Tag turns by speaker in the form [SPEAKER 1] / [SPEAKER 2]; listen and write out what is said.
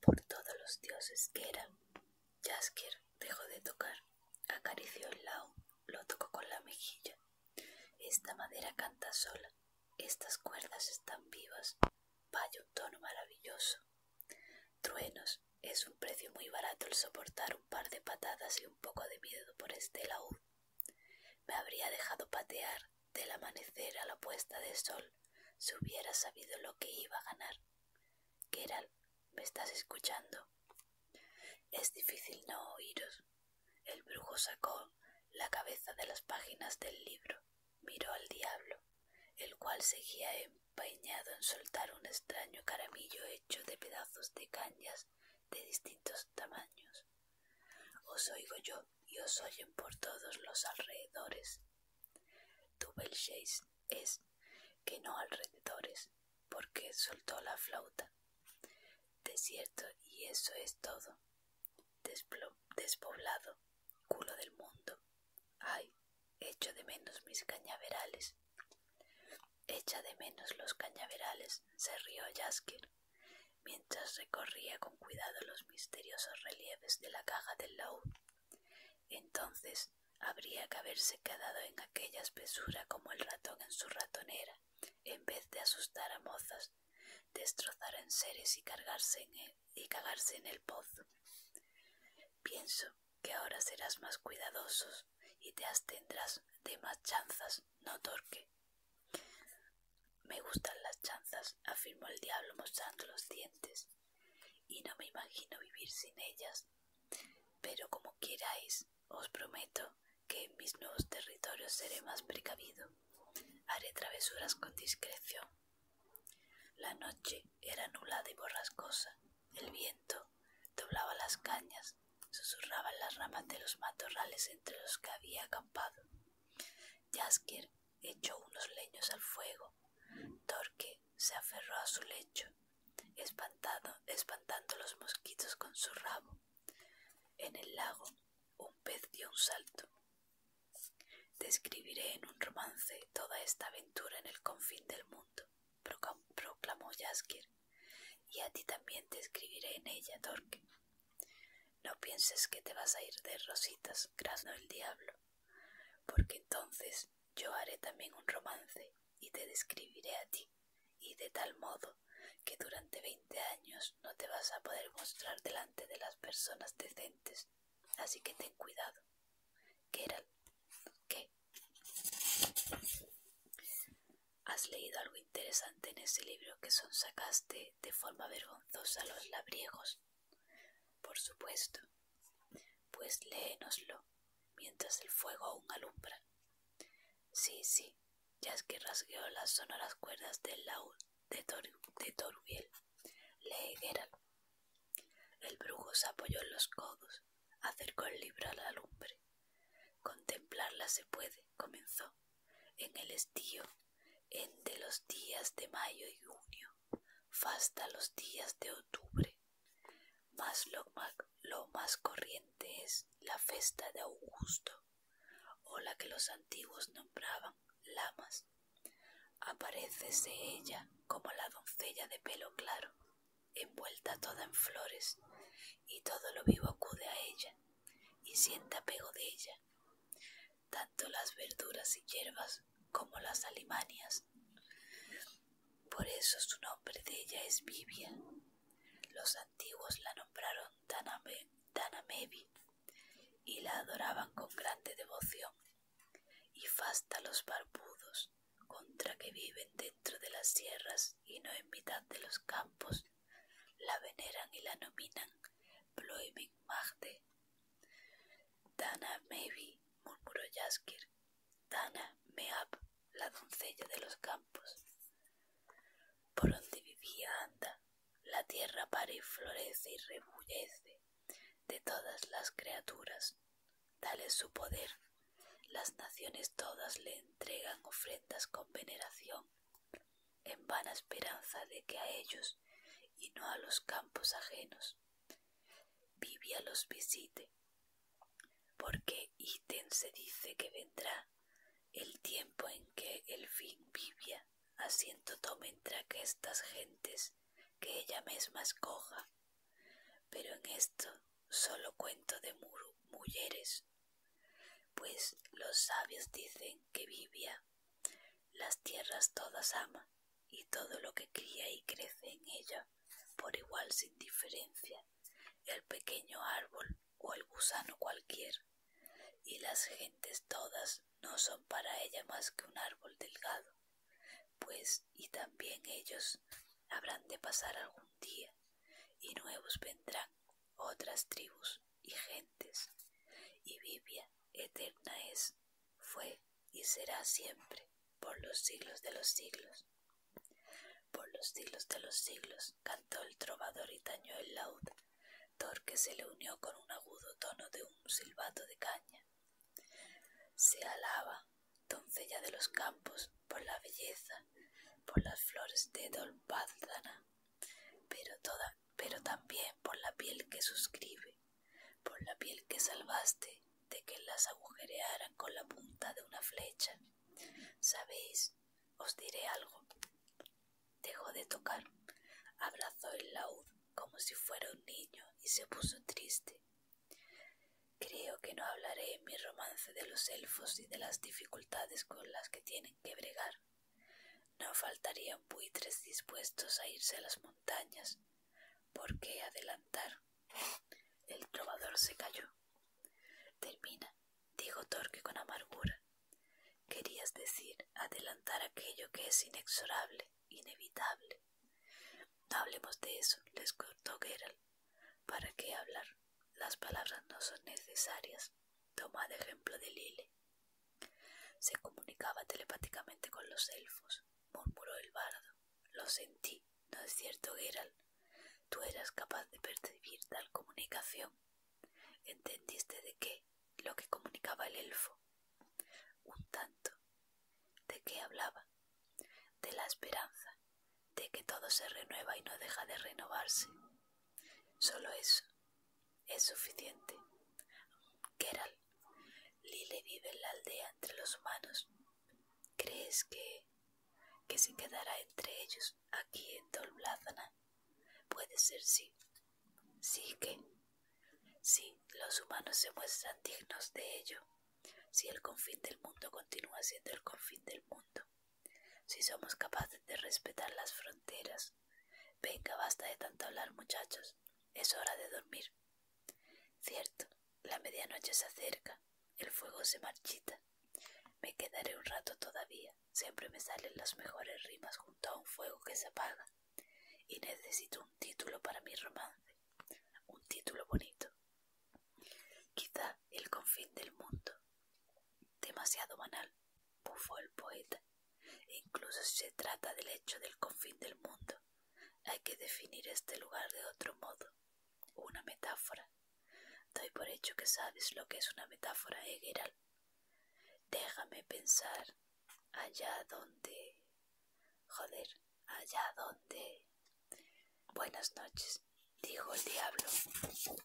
[SPEAKER 1] Por todos los dioses que eran, Jaskier dejó de tocar, acarició el laúd lo tocó con la mejilla. Esta madera canta sola, estas cuerdas están vivas, vaya un tono maravilloso. Truenos, es un precio muy barato el soportar un par de patadas y un poco de miedo por este laúd. Me habría dejado patear del amanecer a la puesta de sol, si hubiera sabido lo que iba a ganar. Geralt, ¿me estás escuchando? Es difícil no oíros. El brujo sacó la cabeza de las páginas del libro, miró al diablo, el cual seguía empeñado en soltar un extraño caramillo hecho de pedazos de cañas de distintos tamaños. Os oigo yo, y os oyen por todos los alrededores. chase es que no alrededores, porque soltó la flauta. Desierto y eso es todo. despoblado, culo del mundo. Ay, echo de menos mis cañaverales. Echa de menos los cañaverales, se rió Jasker mientras recorría con cuidado los misteriosos relieves de la caja del laúd. Entonces habría que haberse quedado en aquella espesura como el ratón en su ratonera, en vez de asustar a mozas, destrozar en seres y cargarse en él, y cagarse en el pozo. Pienso que ahora serás más cuidadoso y te abstendrás de más chanzas, no torque. Me gustan las chanzas, afirmó el diablo mostrando los dientes, y no me imagino vivir sin ellas. Pero como queráis, os prometo que en mis nuevos territorios seré más precavido. Haré travesuras con discreción. La noche era nublada y borrascosa. El viento doblaba las cañas, susurraban las ramas de los matorrales entre los que había acampado echó unos leños al fuego. Torque se aferró a su lecho, espantado, espantando los mosquitos con su rabo. En el lago, un pez dio un salto. —Te escribiré en un romance toda esta aventura en el confín del mundo, proclamó Yasker, y a ti también te escribiré en ella, Torque. No pienses que te vas a ir de rositas, grasno el diablo, porque entonces yo haré también un romance y te describiré a ti, y de tal modo que durante veinte años no te vas a poder mostrar delante de las personas decentes. Así que ten cuidado. era? ¿qué? ¿Has leído algo interesante en ese libro que son sacaste de forma vergonzosa los labriegos? Por supuesto. Pues léenoslo, mientras el fuego aún alumbra. Sí, sí, ya es que rasgueó las sonoras cuerdas del laúd de, Tor de Lee, El brujo se apoyó en los codos, acercó el libro a la lumbre. Contemplarla se puede, comenzó. En el estío, entre los días de mayo y junio, hasta los días de octubre. Mas lo, más corriente es la festa de Augusto, o la que los antiguos nombraban Lamas. Aparecese ella como la doncella de pelo claro, envuelta toda en flores, y todo lo vivo acude a ella, y siente apego de ella tanto las verduras y hierbas como las alimanias. Por eso su nombre de ella es Bibia. Los antiguos la nombraron Danamevi y la adoraban con grande devoción. Y fasta los barbudos, contra que viven dentro de las sierras y no en mitad de los campos, la veneran y la nominan Bloeming Magde. Dana Mevi, murmuró Jaskier. Dana Meab, la doncella de los campos. Por donde vivía anda, la tierra pare y florece y rebullece de todas las criaturas. Dale su poder. Las naciones todas le entregan ofrendas con veneración en vana esperanza de que a ellos y no a los campos ajenos vivía los visite, porque ítem se dice que vendrá el tiempo en que el fin Vivia asiento tome entre estas gentes que ella misma escoja, pero en esto solo cuento de mujeres, pues los sabios dicen que Vivia las tierras todas ama y todo lo que cría y crece en ella, por igual sin diferencia, el pequeño árbol o el gusano cualquier, y las gentes todas no son para ella más que un árbol delgado, pues y también ellos habrán de pasar algún día, y nuevos vendrán otras tribus y gentes, y vivia eterna es, fue y será siempre, por los siglos de los siglos. Por los siglos de los siglos cantó el trovador y tañó el laúd, que se le unió con un agudo tono de un silbato de caña. Se alaba, doncella de los campos, por la belleza, por las flores de dolpazana pero toda pero también por la piel que suscribe, por la piel que salvaste de que las agujerearan con la punta de una flecha. ¿Sabéis? Os diré algo. Dejó de tocar, abrazó el laúd como si fuera un niño y se puso triste. Creo que no hablaré en mi romance de los elfos y de las dificultades con las que tienen que bregar. No faltarían buitres dispuestos a irse a las montañas. ¿Por qué adelantar? El trovador se calló. Termina, dijo Torque con amargura. Querías decir adelantar aquello que es inexorable, inevitable. No hablemos de eso, les cortó Geralt. ¿Para qué hablar? Las palabras no son necesarias. Tomad ejemplo de lile se comunicaba telepáticamente con los elfos, murmuró el bardo. Lo sentí, ¿no es cierto, Geralt? Tú eras capaz de percibir tal comunicación. ¿Entendiste de qué? Lo que comunicaba el elfo. Un tanto. ¿De qué hablaba? De la esperanza, de que todo se renueva y no deja de renovarse. Solo eso. Es suficiente. keral le vive en la aldea entre los humanos. ¿Crees que, que se quedará entre ellos aquí en Dolblázana? Puede ser sí. Sí que. Sí, los humanos se muestran dignos de ello. Si el confín del mundo continúa siendo el confín del mundo. Si somos capaces de respetar las fronteras. Venga, basta de tanto hablar, muchachos. Es hora de dormir. Cierto, la medianoche se acerca, el fuego se marchita. Me quedaré un rato todavía. Siempre me salen las mejores rimas junto a un fuego que se apaga. Y necesito un título para mi romance. Un título bonito. Quizá el confín del mundo. Demasiado banal bufó el poeta. Incluso si se trata del hecho del confín del mundo, hay que definir este lugar de otro modo. Una metáfora. Doy por hecho que sabes lo que es una metáfora, Egeral. ¿eh, Déjame pensar allá donde... Joder, allá donde... Buenas noches, dijo el diablo.